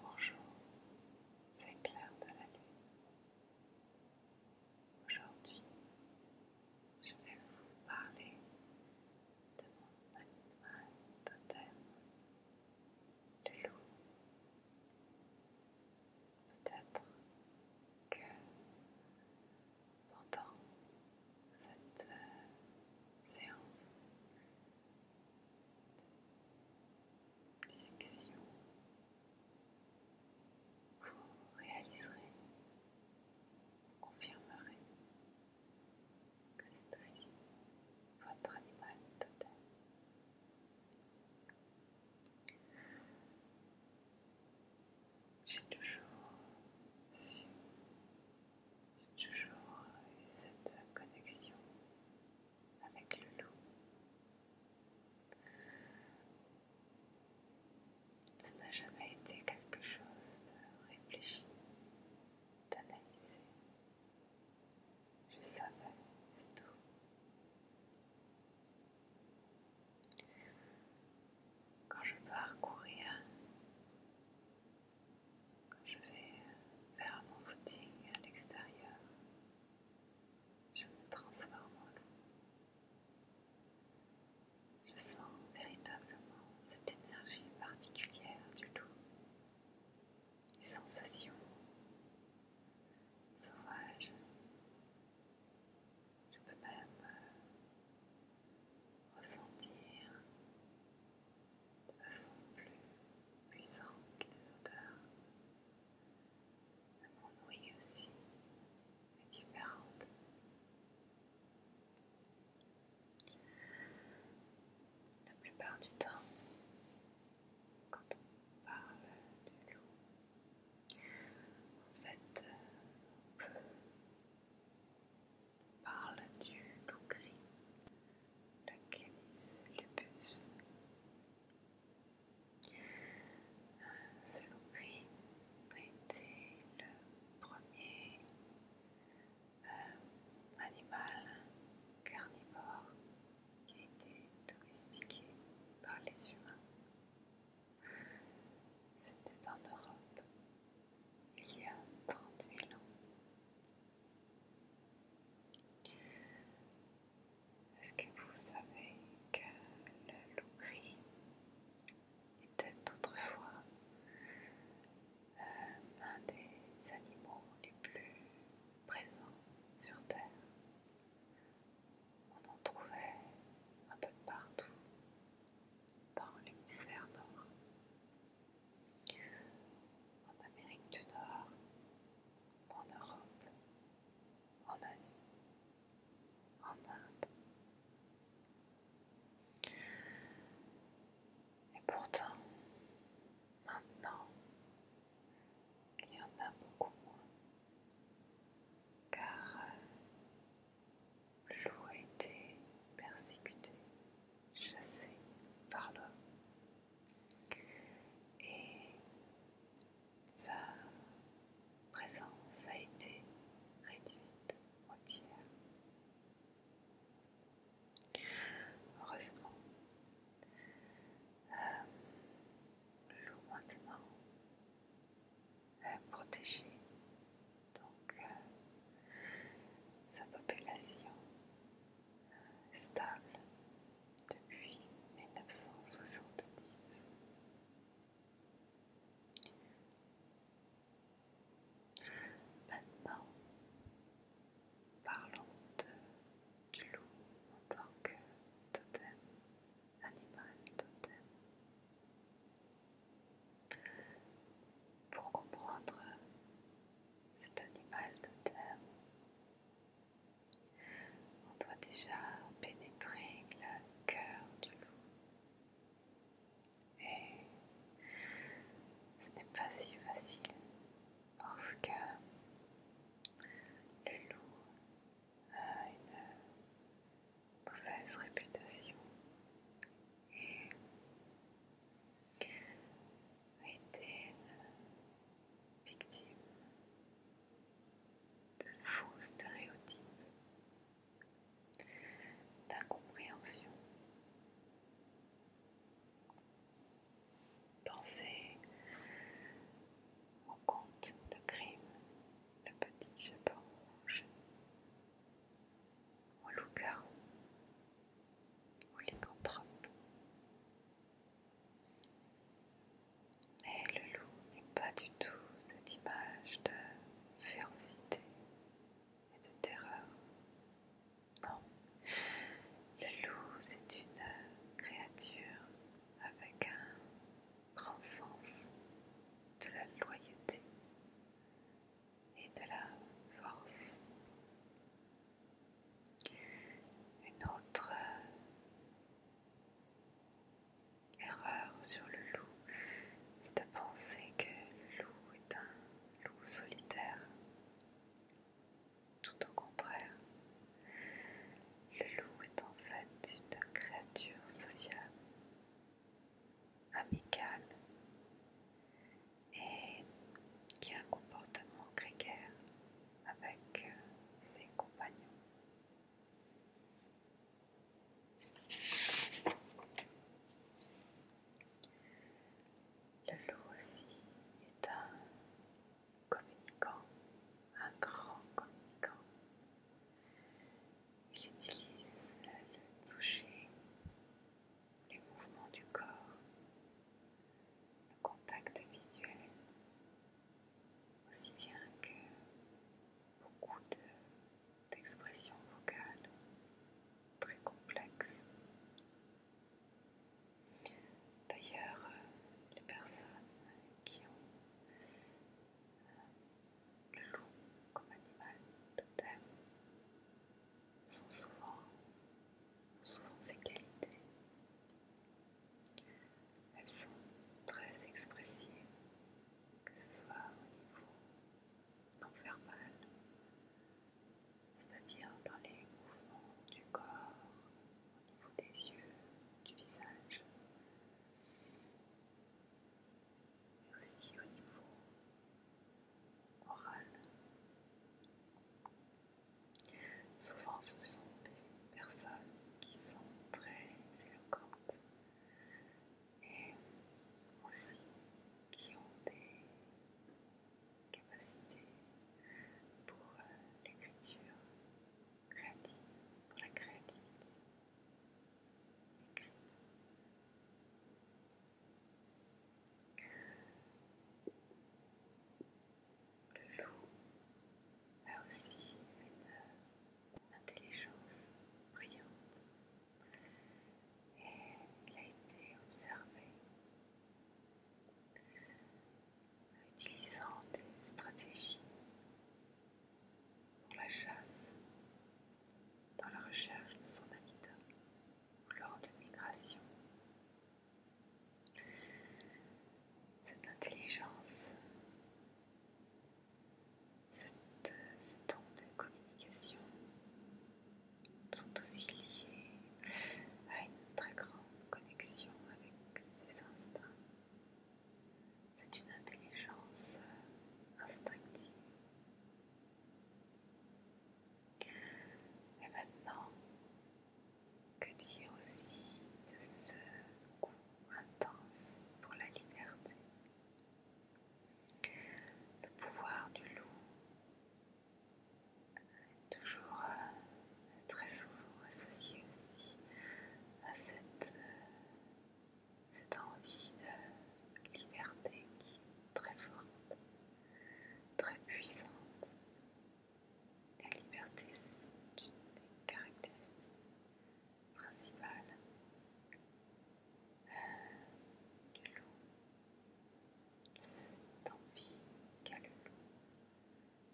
Bonjour, c'est Claire de la Lune. Aujourd'hui, je vais vous parler de mon animal totem, le loup. Peut-être que pendant cette euh, séance, discussion, vous réaliserez, vous confirmerez que c'est aussi votre animal total. J'ai toujours su j'ai toujours eu cette connexion avec le loup. Ce n'a jamais été quelque chose de réfléchi, d'analysé. Je savais, c'est tout. Quand je pars courir, quand je vais faire mon footing à l'extérieur, je me transforme en loup. Je sens véritablement cette énergie particulière du loup, les sensations sauvages. Je peux même ressentir de façon plus puissante que les odeurs. Mon aussi est différente. La plupart du temps, quand on parle du loup, en fait, euh, on peut parle du loup gris, le canis lupus. Ce loup gris a été le premier euh, animal carnivore qui a été domestiqué par les humains. C'était en Europe il y a 30 000 ans est-ce que vous savez que le loup gris était autrefois euh, un des animaux les plus présents sur Terre On en trouvait un peu partout dans l'hémisphère nord en Amérique du Nord, en Europe, en Asie, en Inde. Et pourtant, maintenant, il y en a beaucoup moins, car euh, l'eau a été persécuté, chassé par l'homme. Et sa présence a été réduite tiers. Heureusement, euh, l'eau maintenant est protégée, donc euh, sa population stable depuis 1970. Maintenant, parlons de, du loup en tant que totem, animal totem. Pour comprendre cet animal de terre. On doit déjà pénétrer le cœur du loup. Et ce n'est pas si facile parce que le loup a une mauvaise réputation et a été victime de faux stéréotypes, d'incompréhension. Pensez au conte de crime, le petit chapeau rouge, au loup-garou, ou lycanthrope. Mais le loup n'est pas du tout cette image de férocité et de terreur. Non, le loup c'est une créature avec un grand sens de la loyauté, et de la force. Une autre euh, erreur sur le loup, c'est de penser que le loup est un loup solitaire. Tout au contraire, le loup est en fait une créature sociale, amicale, et qui a un comportement grégaire avec euh, ses compagnons. Le loup aussi est un communicant, un grand communicant. Il utilise le toucher les mouvements du corps, le contact visuel, aussi bien que beaucoup d'expressions vocales très complexes. D'ailleurs, euh, les personnes qui ont euh, le loup comme animal totem sont souvent, souvent ces qualités. Elles sont très expressives, que ce soit au niveau non verbal, c'est-à-dire dans les mouvements du corps, au niveau des yeux, du visage, mais aussi au niveau oral. Souvent ce sont des personnes qui sont très éloquentes et aussi qui ont des capacités pour euh, l'écriture créative, pour la créativité le loup a aussi une intelligence brillante et il a été observé utilisant des stratégies pour la chasse, dans la recherche de son habitat lors de migration cette intelligence, cette, cette de communication sont aussi liés à une très grande connexion avec ses instincts. C'est une intelligence instinctive. Et maintenant, que dire aussi de ce goût intense pour la liberté Le pouvoir du loup est toujours euh, très souvent associé aussi à cette, euh, cette envie de liberté qui est très forte très puissante. La liberté, c'est une des caractéristiques principales euh, du loup. Cette envie qu'a le loup,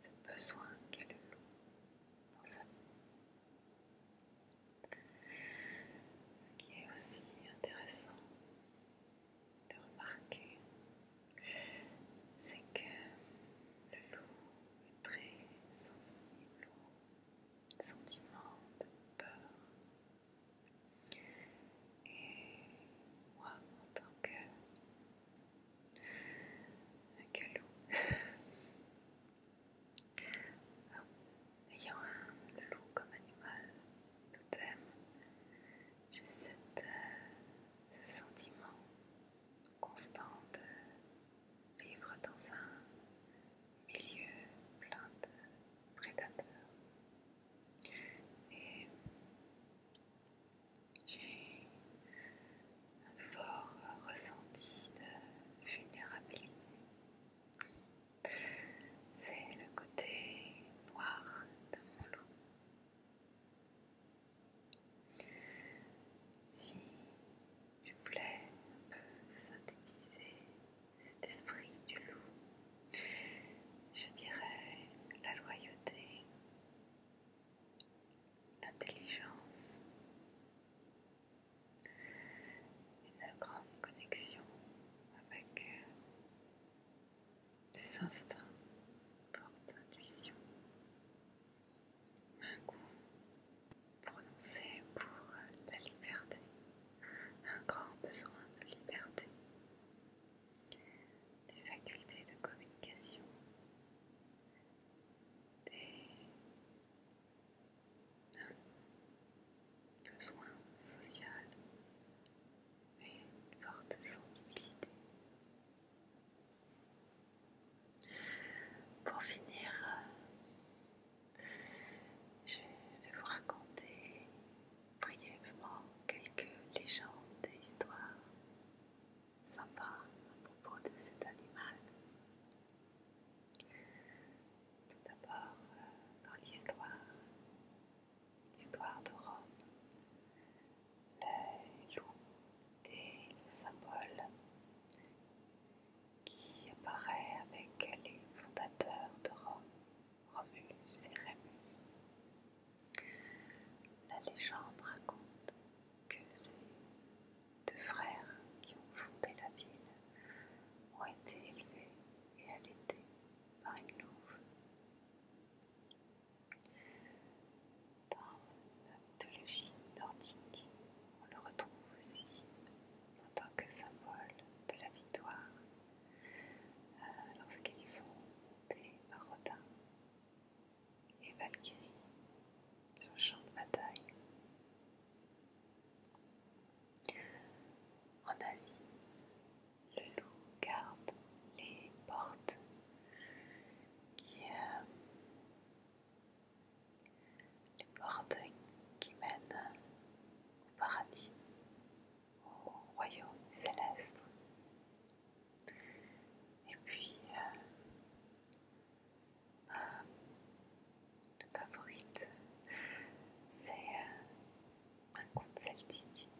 ce besoin qu'a le loup dans sa vie. Ce qui est aussi intéressant, de remarquer, c'est que le loup est très sensible aux sentiments de peur. Et moi, en tant que, loup, ayant le loup comme animal, tout thème, j'ai euh, ce sentiment constant de vivre dans un milieu plein de prédateurs. Et j'ai un fort ressenti de vulnérabilité. C'est le côté noir de mon loup si je voulais un peu synthétiser cet esprit du loup. Je dirais la loyauté, l'intelligence, une grande connexion avec des instincts, forte intuition, un goût prononcé pour la liberté, un grand besoin de liberté, des facultés de communication, des besoins sociaux. social, et une forte sensibilité. Pour finir, euh, je vais vous raconter brièvement quelques légendes et histoires sympas à propos de cet animal. Tout d'abord, euh, dans l'histoire, l'histoire de Rome, La loups et le symbole qui apparaît avec les fondateurs de Rome, Romulus et Rémus. La légende raconte que ces deux frères qui ont fondé la ville ont été élevés et allaités par une louve. Dans la mythologie nordique, on le retrouve aussi en tant que symbole de la victoire euh, lorsqu'ils sont des Rodin et Valkyries sur le champ de bataille. En Asie, le loup garde les portes qui, euh, les portes qui mènent au paradis, au royaume céleste. Et puis, euh, favorite, c'est euh, un conte celtique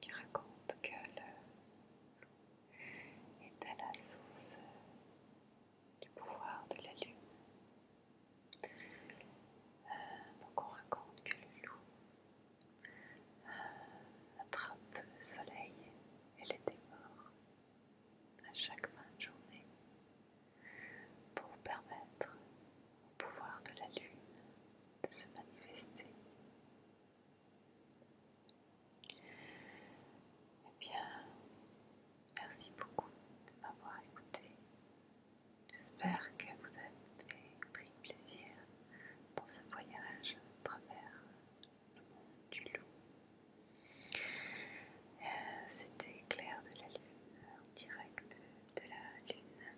qui raconte que le loup est à la source du pouvoir de la lune. Euh, donc on raconte que le loup euh, attrape le soleil et les dévore à chaque fin de journée pour permettre pouvoir de la lune de se manifester. Eh bien, merci beaucoup de m'avoir écouté. J'espère que vous avez pris plaisir dans ce voyage à travers le monde du loup. Euh, c'était clair de la Lune en direct de la Lune.